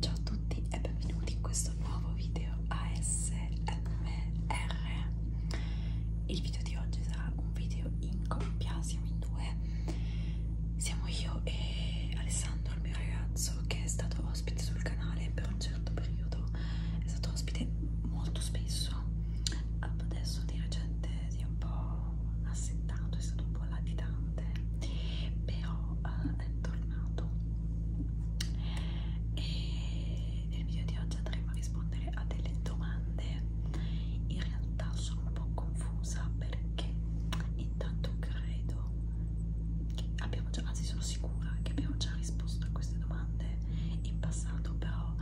Ciao a tutti e benvenuti in questo nuovo video ASMR. Il video di oggi sarà un video in coppia, siamo in due. Siamo io e Alessandro, il mio ragazzo, che è stato ospite sul canale per un certo periodo. È stato ospite molto spesso. Adesso di recente si è un po' assentato, è stato un po' latitante, però uh, è tornato. E nel video di oggi andremo a rispondere a delle domande. In realtà sono un po' confusa perché intanto credo che abbiamo già, anzi sono sicura che abbiamo già risposto a queste domande in passato, però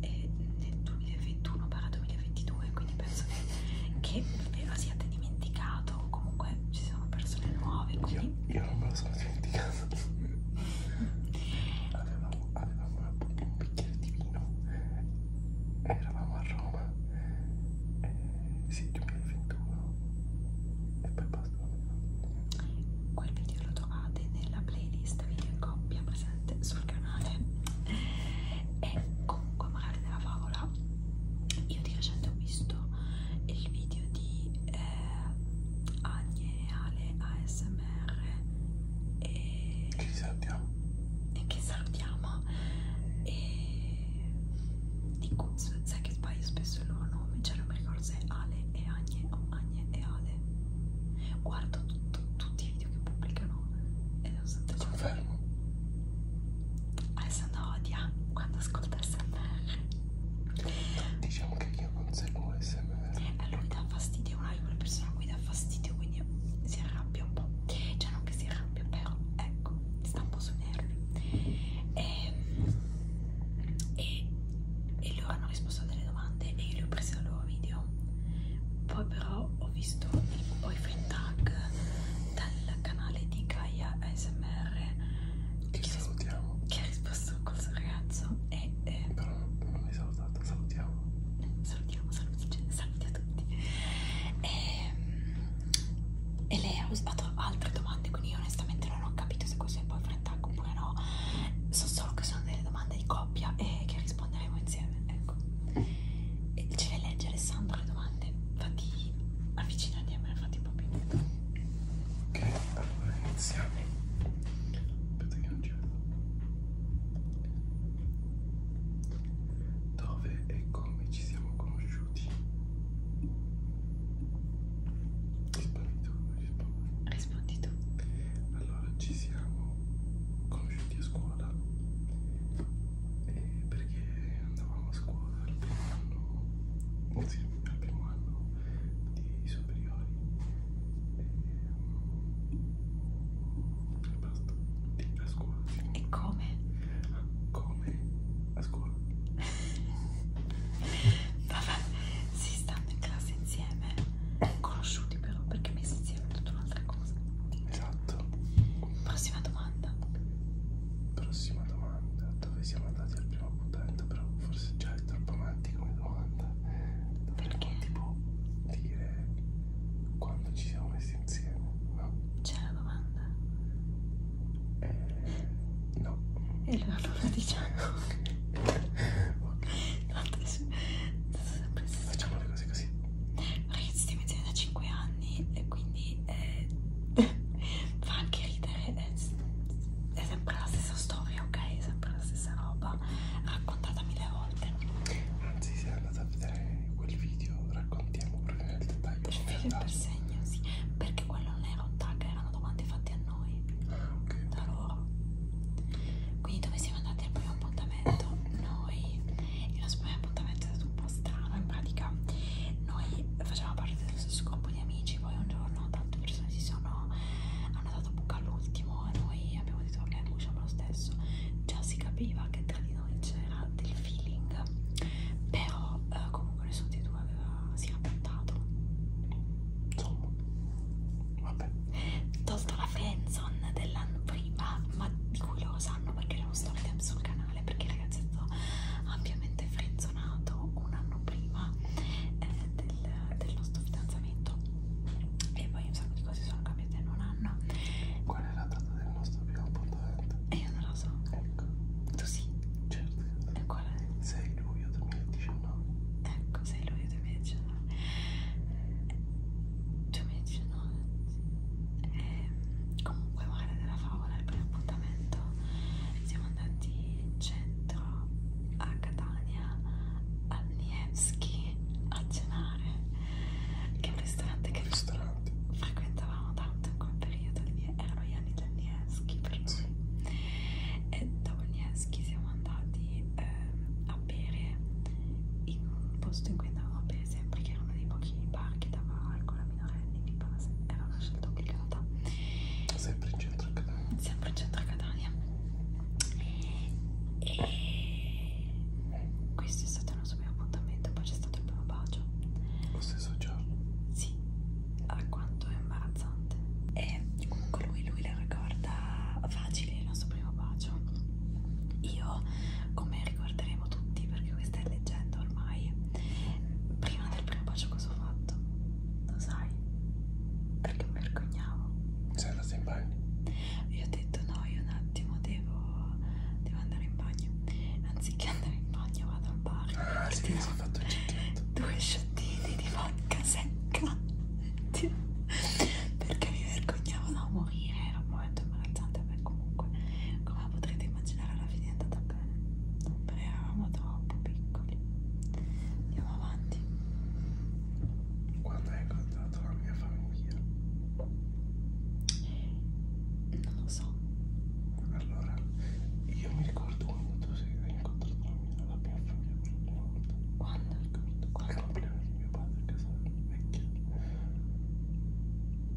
eh, nel 2021-2022 quindi penso che, che eh, lo siate dimenticato o comunque ci sono persone nuove quindi... io, io non me lo sono dimenticato avevamo, avevamo un bicchiere di vino eravamo a Roma eh, sì 2021 e poi basta quel video lo trovate nella playlist video in coppia presente sul canale e comunque magari nella favola io di recente ho visto il video di eh, Agne Ale ASMR e che salutiamo e che salutiamo e di Kuz, sai che sbaglio spesso il loro nome cioè non mi ricordo se è Ale e Agne o Agne e Ale guardo tutto, tutti i video che pubblicano e 68. Confermo. Alessandro odia quando ascolta SMR. Diciamo che io conseguo SMR. A eh, lui dà fastidio, una di quelle persone a cui dà fastidio, quindi si arrabbia un po'. Cioè non che si arrabbia, però ecco, sta un po' sui nervi. E, ehm, e, e loro hanno risposto a delle domande e io le ho prese al loro video poi però ho visto il boyfriend tag dal canale di Gaia ASMR che, che salutiamo che ha risposto col suo ragazzo e eh, però non mi salutato salutiamo salutiamo saluti, cioè, saluti a tutti e, ehm, e lei ha usato altre domande quindi io onestamente non ho capito se questo è il boyfriend tag oppure no so solo che sono delle domande di coppia e che risponderemo insieme ecco ce le legge Alessandro le domande infatti avvicinati a me fatti un po' più ok allora iniziamo aspetta che non ci vedo dove e come ci siamo conosciuti rispondi tu rispondi, rispondi tu allora ci siamo conosciuti a scuola scuola e eh, perché andavamo a scuola al primo anno, oh sì, al primo anno di superiori e, eh, e basta, e a scuola. Sì. E come? Ah, come a scuola. Vabbè, si stanno in classe insieme, conosciuti però perché messi insieme sì, è tutta un'altra cosa. Esatto. Prossima domanda. Prossima domanda. Dove siamo andati al primo appuntamento? Però forse già è troppo avanti come domanda. Dovremmo tipo dire quando ci siamo messi insieme, no? C'è la domanda? Eh, no. E allora non la diciamo. ok. Tanto Facciamo le cose così. Ragazzi, stiamo insieme da 5 anni e quindi eh, fa anche ridere. È, è sempre la stessa storia, ok? È sempre la stessa roba raccontata mille volte. Anzi, se andate a vedere quel video, raccontiamo proprio nel dettaglio. Cioè, per figlio per segno, sì. Perché quello non era un tag, erano domande fatte a noi. Ah, ok. Da loro quindi dove siamo andati al primo appuntamento noi il nostro primo appuntamento è stato un po' strano in pratica noi facevamo parte dello stesso gruppo di amici poi un giorno tante persone si sono hanno dato buca all'ultimo e noi abbiamo detto ok usciamo lo stesso già si capiva che tra di noi c'era del feeling però eh, comunque nessuno dei due aveva, si era puntato insomma vabbè tolto la friendzone dell'anno prima, ma di cui loro sanno perché erano storytime sul canale, perché il ragazzetto ampiamente frenzonato un anno prima eh, del, del nostro fidanzamento e poi un sacco di cose sono cambiate in un anno. Qual è la data del nostro primo appuntamento? E eh, io non lo so. Ecco. Tu sì? Certo. E qual è? 6 luglio 2019. Ecco, 6 luglio 2019. 2019 eh, no, eh, comunque male della favola il primo appuntamento siamo andati in centro a Catania al Nievski a cenare che è un ristorante che ristorante. frequentavamo tanto in quel periodo erano gli anni del Nievski per lui e dopo il Nievski siamo andati eh, a bere in un posto in cui andavamo a bere sempre, che era uno dei pochi bar che dava alcol a minorenni di base, era una scelta obbligata. Sempre in centro a Catania. Sempre in centro a Catania. E questo è stato il nostro primo appuntamento, poi c'è stato il primo bacio. Lo stesso giorno? Sì, a quanto è imbarazzante. E comunque lui, lui la ricorda facile il nostro primo bacio io, come ricorderemo tutti, perché questa è leggenda ormai, prima del primo bacio cosa ho fatto? Lo sai? Perché mi vergognavo. Sei andata in bagno? Io ho detto no, io un attimo devo, devo andare in bagno. Anziché andare in bagno vado al bar. Ah, sì, mi sono fatto il cicchetto. Due sciottini di vodka secca. Perché mi vergognavo da morire, era momento imbarazzante per comunque come potrete immaginare alla fine è andata bene però eravamo troppo piccoli andiamo avanti quando hai incontrato la mia famiglia? non lo so allora io mi ricordo quando tu sei incontrato la mia, la mia famiglia per la prima volta quando? ricordo qual compleanno di mio padre a casa vecchia?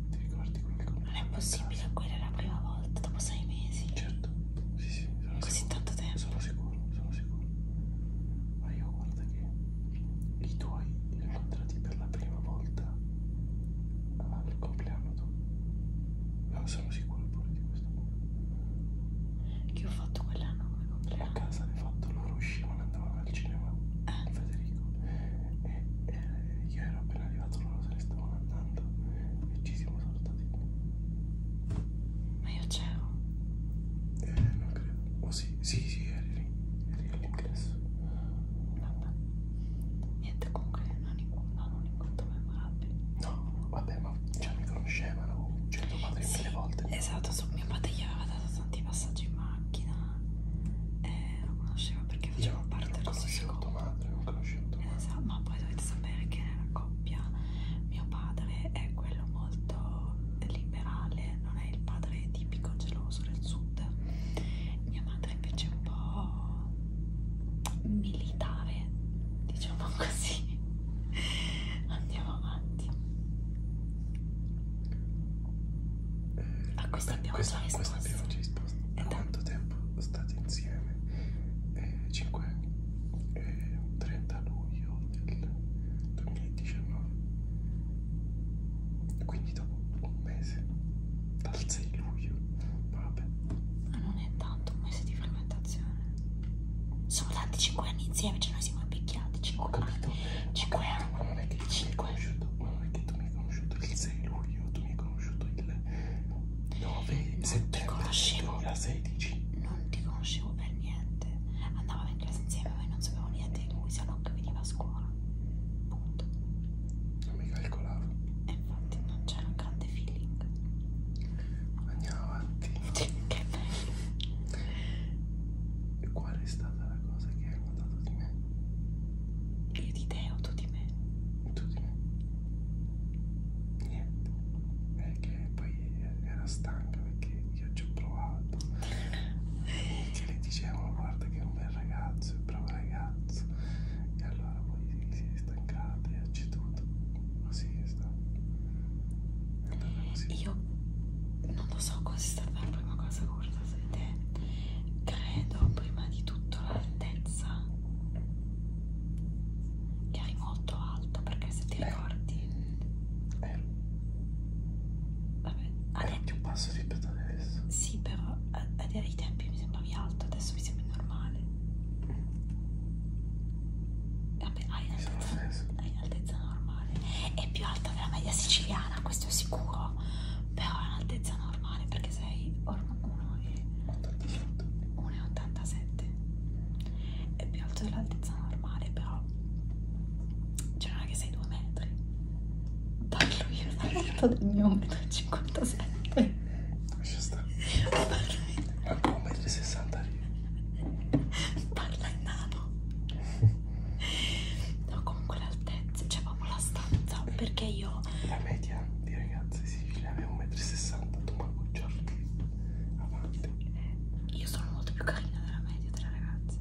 Ti ricordi quel compleanno? Non è possibile, quella è la prima volta, dopo sei mesi. Certo, sì, sì, sono Così sicuro. tanto tempo. Sono sicuro, sono sicuro. Ma io guarda che i tuoi li ho incontrati per la prima volta al compleanno tu. No, sono sicuro pure di questo. Che ho fatto quell'anno come compleanno? A casa hai fatto loro uscivano e andavano andavamo al cinema di Federico e, e eh, io ero appena arrivato, loro se ne stavano andando e ci siamo salutati. Ma io c'ero? Eh, non credo. Oh sì, sì, sì, eri lì. Eri all'ingresso. Vabbè. Niente, comunque non, non un incontro memorabile. No, vabbè, ma cioè, mi conoscevano, cioè tuo padre sì, mille volte. Esatto, mio padre gli aveva dato tanti passaggi in macchina e eh, non conosceva perché faceva Io parte dello stesso gruppo. madre, non conoscendo esatto, ma poi dovete sapere che nella coppia mio padre è quello molto liberale, non è il padre tipico geloso del sud. Mia madre invece è un po' militare, diciamo così. Andiamo avanti. A ah, eh, questa Beh, abbiamo questa, già risposto. Questa abbiamo già risposto. Da quanto tempo state insieme? Eh, 5 anni. Eh, 30 luglio del 2019. Quindi dopo un mese. Dal 6 luglio. Vabbè. Ma non è tanto un mese di fermentazione. Sono tanti 5 anni insieme, cioè noi siamo invecchiati 5 anni 5 anni ma non è che tu mi hai conosciuto il 6 luglio tu mi hai conosciuto il 9 settembre 2016 non ti conoscevo per niente andavamo in classe insieme ma io non sapevo niente di lui se no che veniva a scuola punto non mi calcolavo e infatti non c'era un grande feeling andiamo avanti che bello e qual è stato stata la cosa che hai notato di me? Io di te o tu di me? Tu di me. Niente. È che poi era stanca perché io ci ho provato. che le dicevano guarda che è un bel ragazzo, è un bravo ragazzo. E allora poi si è stancata e ha ceduto. Così è stato. Io non lo so cos'è stata la prima cosa che ho guardato di te. Credo prima di tutto l'altezza, che hai molto alta perché se ti eh. ricordi. Eh. Vabbè, adesso... più basso rispetto ad adesso. Sì, però ai tempi mi sembravi alto, adesso mi sembra normale. Mm. Vabbè, hai l'altezza. Hai in altezza normale è più alta della media siciliana questo è sicuro però è in altezza normale perché sei 1,87 è più alto dell'altezza normale però cioè non è che sei 2 metri da lui è alto del mio 1,57 m lascia stare ma 1,60 m parla in nano no comunque l'altezza cioè proprio la stanza perché io la media di ragazze siciliane sì, è 1,60 m tu manco giorni avanti eh, io sono molto più carina della media delle ragazze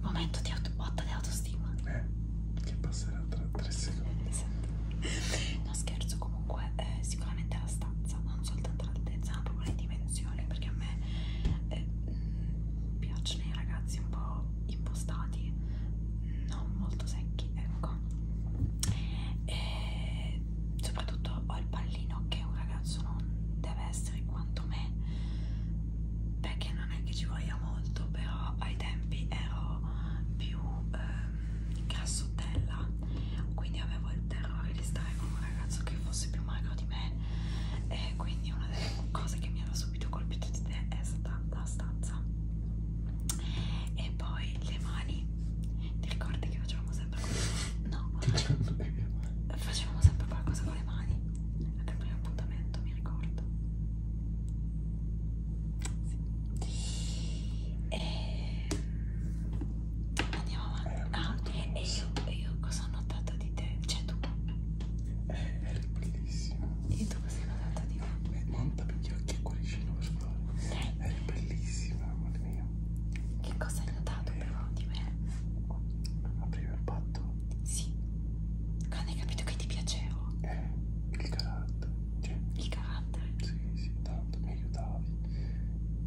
momento di auto, botta di autostima eh che passerà tra 3 secondi esatto. no scherzo comunque eh, sicuramente la stanza non soltanto l'altezza ma proprio le dimensioni attenzione perché a me eh, piacciono i ragazzi un po' impostati, non molto secchi, ecco. E soprattutto ho il pallino che un ragazzo non deve essere quanto me, perché non è che ci voglia molto, però ai tempi ero più eh, grassottella, quindi avevo il terrore di stare con un ragazzo che fosse più magro di me me e quindi una delle cose che mi aveva subito colpito di te è stata la stanza e poi le mani ti ricordi che facevamo sempre qualcosa? no facevamo sempre qualcosa con le mani anche il primo appuntamento mi ricordo sì. e Andiamo avanti. Eh, ah, e io, io cosa ho notato di te? Cioè tu? Eh, eri bellissima. E tu cosa hai notato di me? Eh, monta per gli occhi e cuoricino per favore. Eh. Eri bellissima, amore mio. Che cosa hai notato eh. però di me? Apriva il patto? Sì. Quando hai capito che ti piacevo? Eh, il carattere. Cioè, il carattere? Sì, sì, tanto mi aiutavi.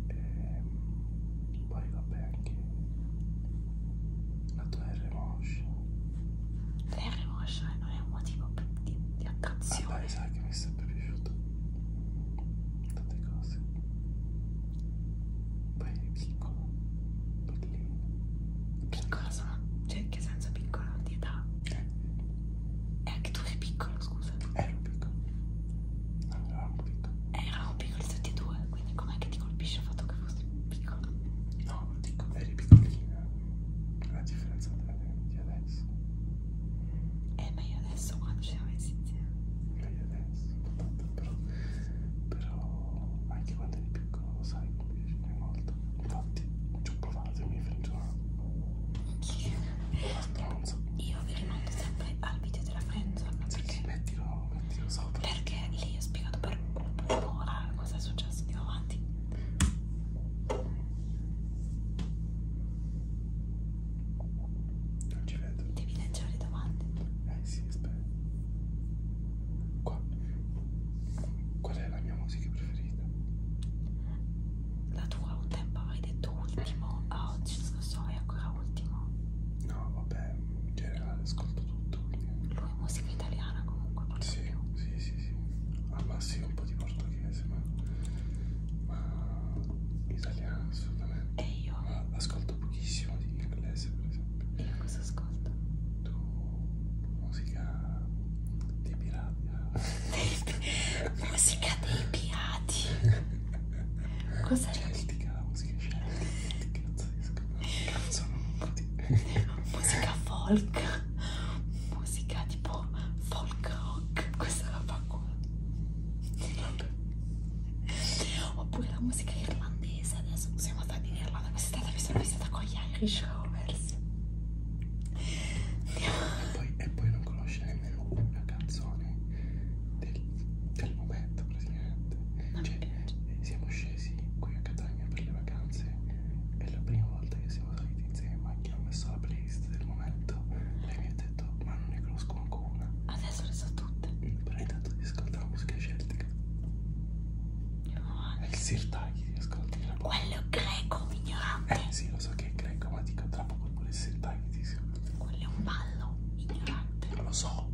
Eh, poi vabbè anche la tua R moscia R moscia non è un motivo di, di attrazione vabbè ah, sai che mi è sempre piaciuto tante cose poi è piccola piccolino piccola sono cioè che senso piccola di età eh. e eh, anche tu sei piccolo scusa ero piccolo era un piccolo. Eravamo piccoli tutti e due, quindi com'è che ti colpisce il fatto che fossi piccolo? No, dico, eri piccolina. La differenza tra di adesso. Eh, ma io adesso quando ci siamo messi insieme. Ma io adesso, tanto, però, però anche quando eri piccolo lo sai che mi piace molto. Infatti, ci ho provato e mi frengiamo. Io vi rimando sempre al video video della friendzone perché sì, mettilo, mettilo sopra perché lì ho spiegato per un'ora cosa è successo di avanti non ci vedo devi leggere le domande eh sì aspetta qua qual è la mia musica preferita? la tua un tempo avevi detto ultimo a oggi non lo so è ancora ultimo No, vabbè, in generale ascolto tutto. Quindi... Musica italiana comunque. Sì, più. sì, sì, sì. Al massimo un po' di portoghese, ma, ma italiano assolutamente. E io? Ma ascolto pochissimo di inglese, per esempio. E io cosa ascolto? Tu musica dei pirati. musica dei pirati. Cos'è? Celtica, la musica celtica, pazzesca. Cazzo, non ti... musica folk, musica tipo folk rock. Questa roba qua. Vabbè. Oppure la musica irlandese. Adesso siamo andati in Irlanda quest'estate, mi sono visitata con gli Irish Rovers. E poi, e poi non conosce nemmeno una canzone del, del momento praticamente. Non cioè, eh, siamo scesi qui a Catania per le vacanze e la prima volta che siamo saliti insieme in macchina ho messo la playlist del momento. Lei mi ha detto, ma non ne conosco manco una. Adesso le so tutte. Mm, però intanto ti ascolta la musica celtica. No. È il Sirtaki ti ascolti la Quello greco, ignorante. Eh sì, lo so che è greco, ma dico tra poco pure il Sirtaki ti ascolti. Quello è un ballo ignorante. Lo so.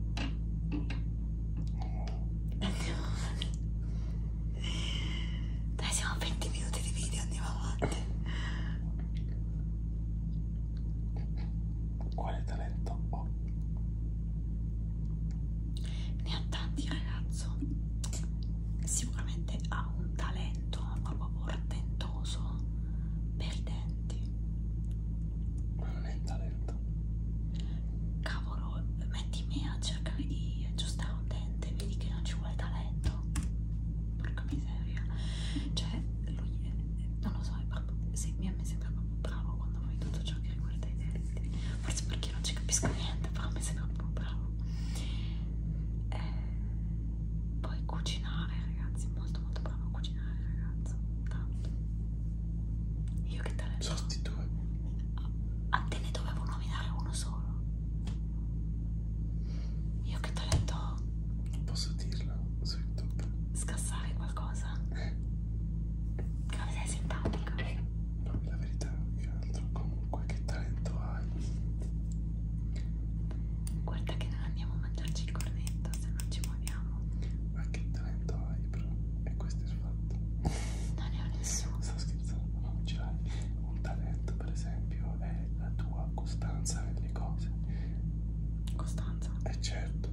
Andiamo avanti. Dai, siamo a 20 minuti di video, andiamo avanti. Quale talento ho? Ne ha tanti, ragazzo. Sicuramente ha un talento, ma proprio portentoso per te talenti. Ma non è un talento. Cavolo, metti me a cercare di aggiustare un dente, vedi che non ci vuole talento. Porca miseria. Cioè, lui è, non lo so, è proprio, sì, a me sembra proprio bravo quando fai tutto ciò che riguarda i denti. Forse perché non ci capisco niente, però mi sembra proprio bravo. E eh, poi cucinare, ragazzi, molto molto bravo a cucinare cucinare ragazzo tanto io che talento sono due a te ne dovevo nominare uno solo io che talento ho non posso dirlo su youtube scassare qualcosa eh. che non sei simpatica no eh, la verità è che altro comunque che talento hai guarda che non andiamo a mangiarci il cornetto se non ci testimoniamo. Ma che talento hai, però? E questo è il fatto. Non ne ho nessuno. Sto scherzando, non ce l'hai. Un talento, per esempio, è la tua costanza nelle cose. Costanza? Eh certo.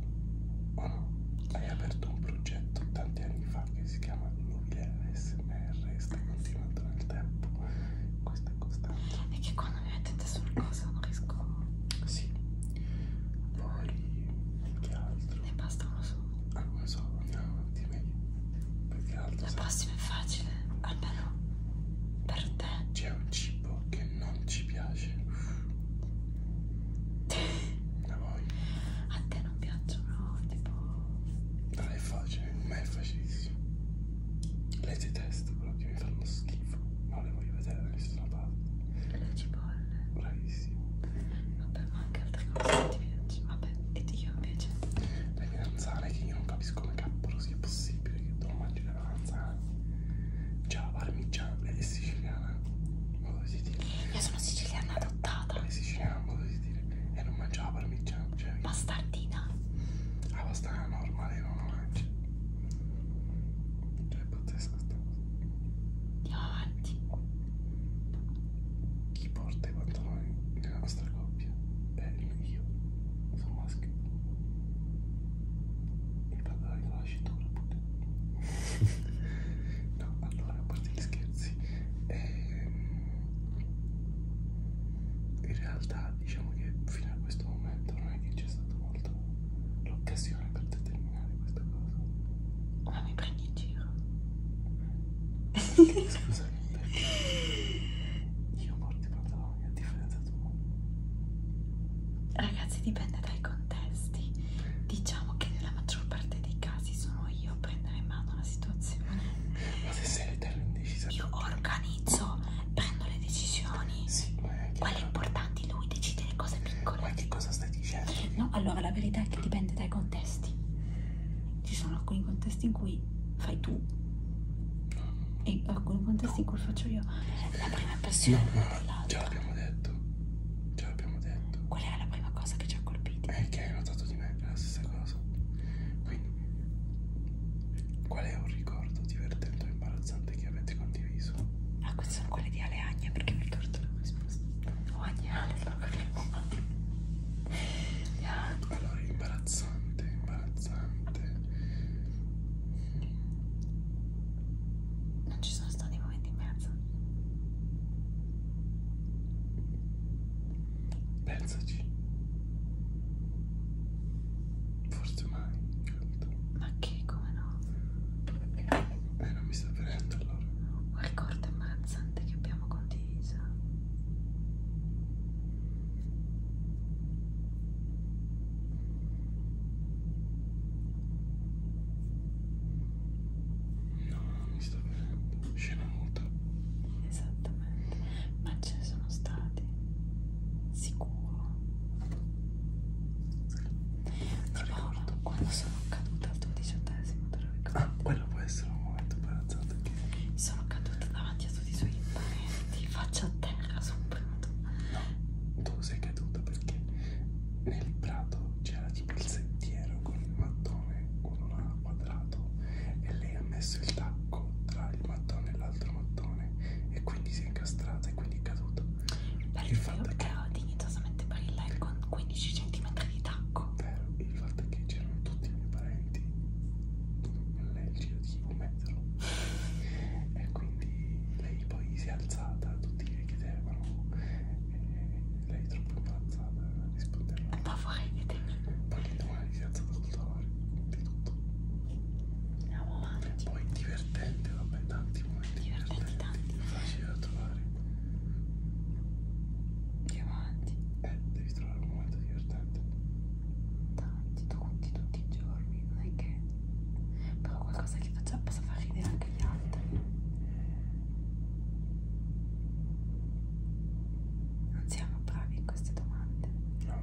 O no? Hai aperto un progetto tanti anni fa che si chiama Nuvile ASMR e sta continuando nel tempo. Questo costante, costante. È che quando mi mettete su una cosa non riesco. Sì. Poi, che altro? Ne basta uno solo. Ah, lo so, andiamo avanti meglio. Perché altro? La prossima è facile, almeno per te. C'è un cibo che non ci piace. A voi? A te non piacciono, tipo. Dai, è facile, ma è facilissimo. Le detesto, però che mi fanno schifo. Non le voglio vedere da nessuna parte. Le cipolle. Bravissimo. Vabbè, ma anche altre cose ti piace. Vabbè, e io invece. Le melanzane che io non capisco come cappolo sia possibile che tu non mangi le melanzane. Già, cioè, la parmigiana è siciliana, in modo di dire. Io sono siciliana adottata. È siciliana, in modo di dire. E non mangia la parmigiana. Cioè, Bastardina. La pasta normale non la mangia. Cioè, è pazzesca sta cosa. Andiamo avanti. Chi porta i pantaloni nella nostra coppia? È io. Sono maschio. I pantaloni con la cintura pure. no, allora, a parte gli scherzi. Ehm, in realtà diciamo che fino a questo momento non è che c'è stato molto l'occasione per determinare questa cosa. Ma mi prendi in giro? Scusami, perché io porto i pantaloni a differenza tua. Ragazzi, dipende dai contesti. Diciamo che nella maggior parte dei casi sono io a prendere in mano la situazione. Ma se sei terra indecisa, io organizzo prendo le decisioni. Sì, Quale è importante lui decide le cose piccole. Ma che cosa stai dicendo? No, allora la verità è che dipende dai contesti. Ci sono alcuni contesti in cui fai tu e alcuni contesti in cui faccio io. La prima impressione no, ma già l'abbiamo detto. Già l'abbiamo detto. Qual era la prima cosa che ci ha colpito? È eh, che hai notato di me la stessa cosa. Quindi Qual è un ricordo divertente o imbarazzante che avete condiviso? Ah, queste sono quelle di Aleagna perché mi ricordo la risposta. O Agnale, la Allora, imbarazzante, imbarazzante. Non ci sono stati momenti in mezzo. Pensaci. Forse mai certo. Ma che, come no? Eh, non mi sta venendo allora. Un ricordo imbarazzante che abbiamo condiviso. No, non mi sta venendo. Scena muta. Esattamente. Ma ce ne sono state rilassati, sicuro. Non ricordo quando sono caduta al tuo diciottesimo, te lo ricordo. Ah, quello può essere un momento imbarazzante. Sono caduta davanti a tutti i suoi parenti, faccia a terra su un prato. No, tu sei caduta perché nel prato c'era tipo il sentiero con il mattone, con un quadrato, e lei ha messo il tacco tra il mattone e la l'altro mattone e quindi si è incastrata e quindi è caduta. Beh, il fatto che ho dignitosamente barilla con 15 cm di tacco. Vero, il fatto è che c'erano tutti i miei parenti nel giro di un metro e quindi lei poi si è alzata, tutti le chiedevano e lei è troppo imbarazzata a rispondere. Un po' fuori di te. Poi l'indomani si è alzata col dolore di tutto. Amore romantici. Poi divertente, vabbè, tanti momenti divertenti. divertenti. Tanti. Facile da trovare. Diamanti. Eh, devi trovare un momento divertente. Tanti, tutti, tutti i giorni, non è che... Però qualcosa che faccia possa far ridere anche gli altri. Non siamo bravi in queste domande. No,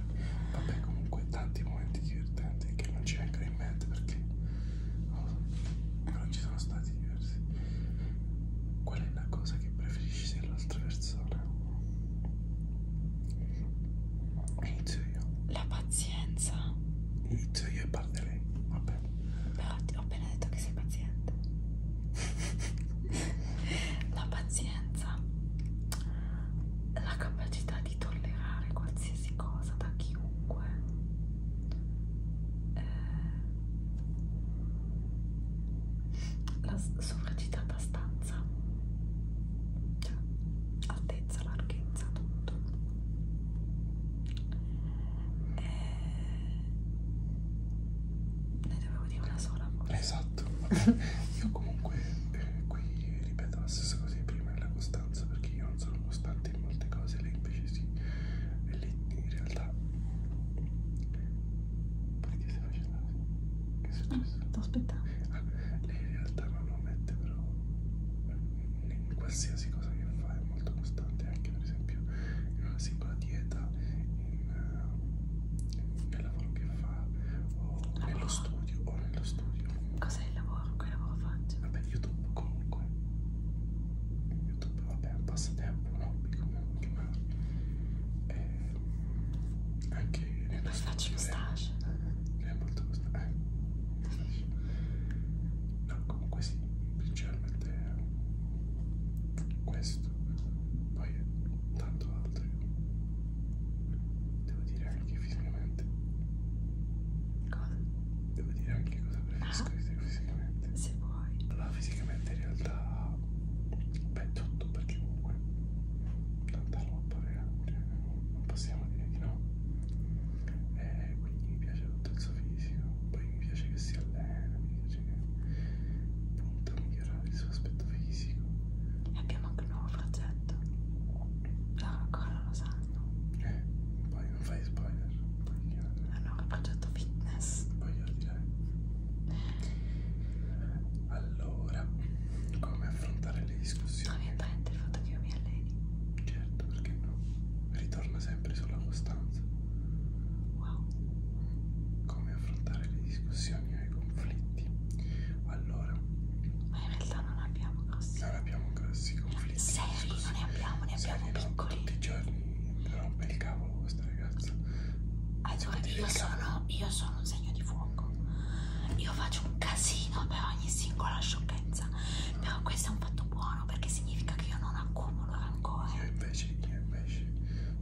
vabbè, vabbè comunque tanti momenti divertenti che non ci vengono in mente perché oh, non ci sono stati diversi qual è la cosa che preferisci dell'altra persona? inizio io la pazienza inizio io e parte lei vabbè però ti ho appena detto che sei paziente la pazienza la capacità di di tollerare qualsiasi cosa da chiunque eh, la sovracitata stanza cioè altezza, larghezza, tutto eh, ne dovevo dire una sola forse. esatto, vabbè io comunque eh, qui ripeto la stessa cosa di prima prima è la costanza perché io non sono costante in molte cose lei invece sì e lì in realtà perché stai facendo così? che è successo? Ah, sto aspettando ah, lei in realtà non lo mette però in qualsiasi cosa che fa è molto costante anche per esempio in una singola dieta in, eh, nel lavoro che fa o nello ah. studio o nello studio Cos'è il lavoro? Che lavoro faccio? Vabbè, YouTube comunque. YouTube, vabbè, è un passatempo, un hobby, come lo chiamare. E anche... E poi faccio stage. Eh, è molto costante. Eh. No, comunque sì, principalmente questo. Poi tanto altro. Devo dire anche fisicamente. Cosa? Devo dire anche cosa preferisco ah. di te fisicamente. Ah, se vuoi. Allora, fisicamente in realtà. Beh, tutto perché comunque. Tanta roba, cioè, non possiamo dire di no. E eh, quindi mi piace tutto il suo fisico. Poi mi piace che si allena, mi piace che punta a migliorare il suo aspetto fisico. E abbiamo anche un nuovo progetto loro ancora lo sanno eh poi non fai spoiler hanno un progetto fitness voglio dire allora come affrontare le discussioni ovviamente il fatto che io mi alleni certo perché no ritorna sempre sulla costanza wow come affrontare le discussioni ego ecco conflitti. Allora, ma in realtà non abbiamo grossi. Non abbiamo grossi conflitti. Seri, così. non ne abbiamo, ne abbiamo Seri, piccoli. Tutti i giorni rompe il cavolo questa ragazza. Allora, io sono, io sono un segno di fuoco. Io faccio un casino per ogni singola sciocchezza. No. Però questo è un fatto buono perché significa che io non accumulo rancore. Io invece, io invece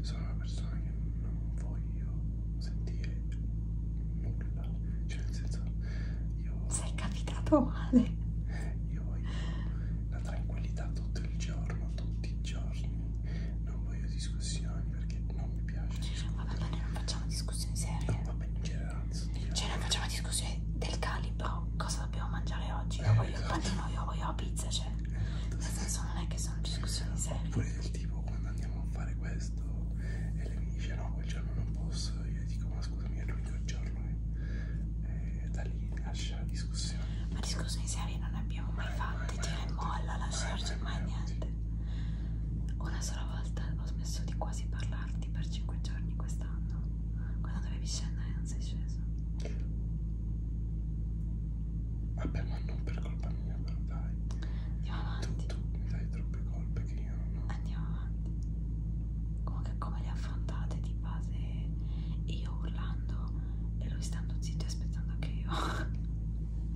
sono una persona che non vuole voglio sentire nulla, cioè nel senso io... Sei capitato male. Io voglio la tranquillità tutto il giorno, tutti i giorni, non voglio discussioni perché non mi piace Vabbè, ma noi non facciamo discussioni serie. No, vabbè, in generale. Cioè noi facciamo discussioni del calibro, cosa dobbiamo mangiare oggi, io eh, voglio il esatto. panino, io voglio la pizza, cioè... Esatto, nel senso sì. non è che sono discussioni serie. Oppure del tipo quando andiamo a fare questo presto e lei mi dice no quel giorno non posso io dico ma scusami è l'unico giorno e, e da lì nasce la discussione ma discussioni serie non ne abbiamo eh, eh, mai, mai fatte mai, tira mai e molla lasciarci mai, mai niente una sola volta ho smesso di quasi parlarti per 5 giorni quest'anno quando dovevi scendere non sei sceso vabbè ma non per colpa mia però dai tu, tu mi dai troppe colpe che andiamo, no? andiamo avanti comunque come le affrontate di base io urlando e lui stando zitto e aspettando che io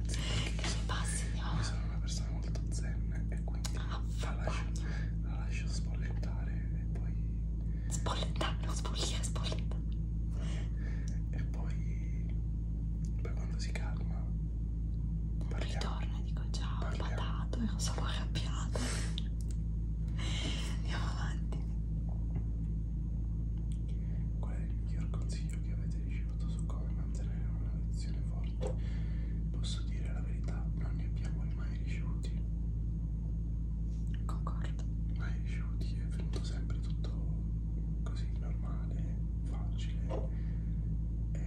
sì, che mi passi andiamo io sono una persona molto zen e quindi ah, la, lascio, la lascio spollettare e poi spollettare, non spogliare, spollettare e poi poi quando si calma Parliamo. Ritorno e dico ciao, Parliamo. patato, ero solo arrabbiata. Andiamo avanti. Qual è il miglior consiglio che avete ricevuto su come mantenere una relazione forte? Posso dire la verità, non ne abbiamo mai ricevuti. Concordo. Mai ricevuti, è venuto sempre tutto così normale, facile, e eh,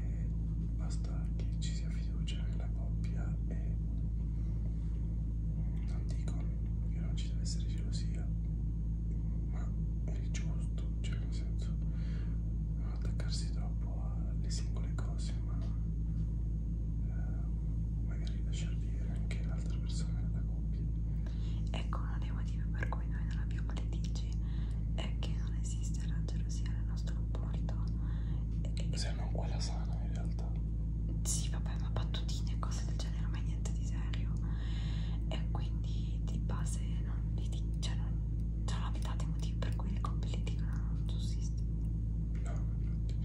basta che ci sia fiducia nella coppia e non dico che non ci deve essere gelosia ma è giusto cioè nel senso non attaccarsi troppo alle singole cose ma eh, magari lasciar vivere anche l'altra persona nella coppia ecco uno dei motivi per cui noi non abbiamo litigi è che non esiste sarà gelosia nel nostro rapporto e... se non quella sana in realtà sì vabbè ma battutine e cose del genere ma niente di serio e quindi di base non vi dico cioè non c'è la metà dei motivi per cui le coppie litigano non sussiste no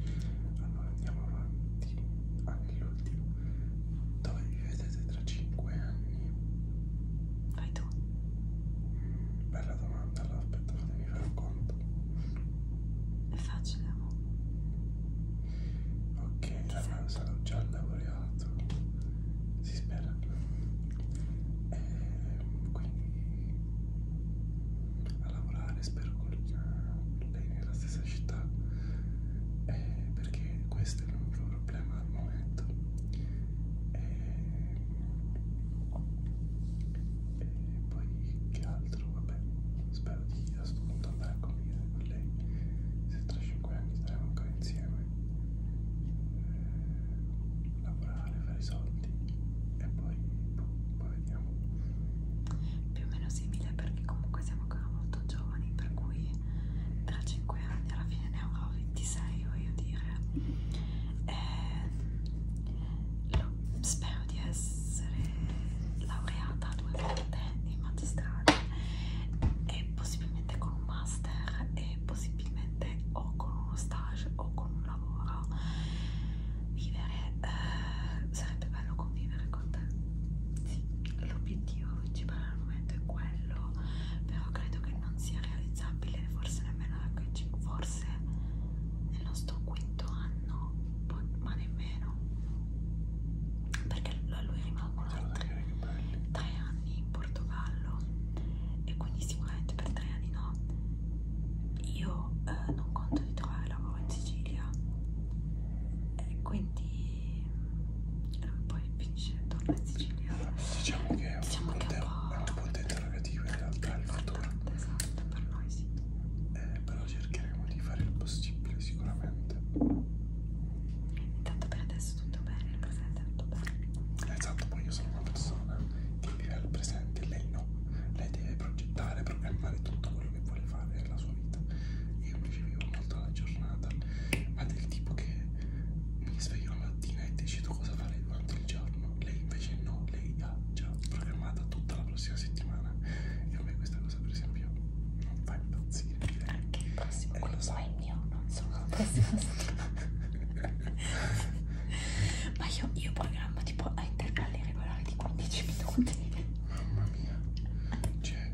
infatti allora andiamo avanti anche l'ultimo dove vi vedete tra 5 anni vai tu dito? Bella domanda, allora aspetta, fatemi fare un conto. È facile, amore. Ok, la allora sarà già laureato. Si spera. E ehm, quindi a lavorare spero con lei nella stessa città. Eh, perché questo è il mio problema al momento. Eh, e poi che altro vabbè spero di a questo punto andare a convivere con lei se tra 5 anni staremo ancora insieme eh, lavorare fare i soldi e poi boh, poi vediamo più o meno simile perché comunque siamo ancora molto giovani per cui tra 5 anni alla fine ne avrò 26 voglio dire e lo, spero di essere laureata due volte in magistrale e possibilmente con un master e possibilmente o con uno stage o con un lavoro vivere eh, sarebbe bello convivere con te sì, l'obiettivo principale al momento è quello però credo che non sia realizzabile indispensabile, forse nemmeno l'HC, forse nel nostro quinto anno, boh, ma nemmeno perché a lui rimangono altri tre anni in Portogallo e quindi sicuramente per tre anni no. Io eh, non conto di trovare lavoro in Sicilia e quindi poi il pesce torna in Sicilia diciamo che è un, diciamo che è un po' interrogativo in realtà il futuro esatto, esatto per noi sì eh, però cercheremo di fare il possibile sicuramente intanto per adesso tutto bene il presente è tutto bene esatto poi io sono una persona che vive al presente lei no lei deve progettare programmare tutto quello che vuole fare nella sua vita io invece vivo molto la giornata ma del tipo che mi sveglio la mattina e decido cosa fare durante il giorno. Lei invece no, lei ha già programmata tutta la prossima settimana. E a me questa cosa, per esempio, non fa impazzire. Anche il prossimo, eh, quello so. è il mio, non solo la prossima settimana. Ma io, io programmo tipo a intervalli regolari di 15 minuti. Mamma mia, cioè,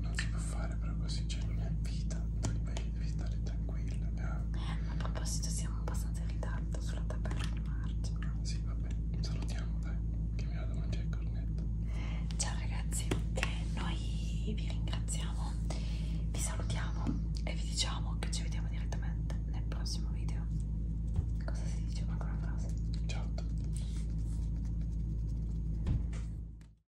non si può fare però così, cioè non è vita. Dovrebbe devi stare tranquilla. Eh. A proposito, siamo abbastanza in ritardo sulla tabella di marcia. Sì, vabbè, salutiamo, dai, che mi vado a mangiare il cornetto. Ciao ragazzi, noi vi ringraziamo, vi salutiamo e vi diciamo che ci vediamo direttamente nel prossimo video. Cosa si diceva ancora una frase? Ciao a tutti.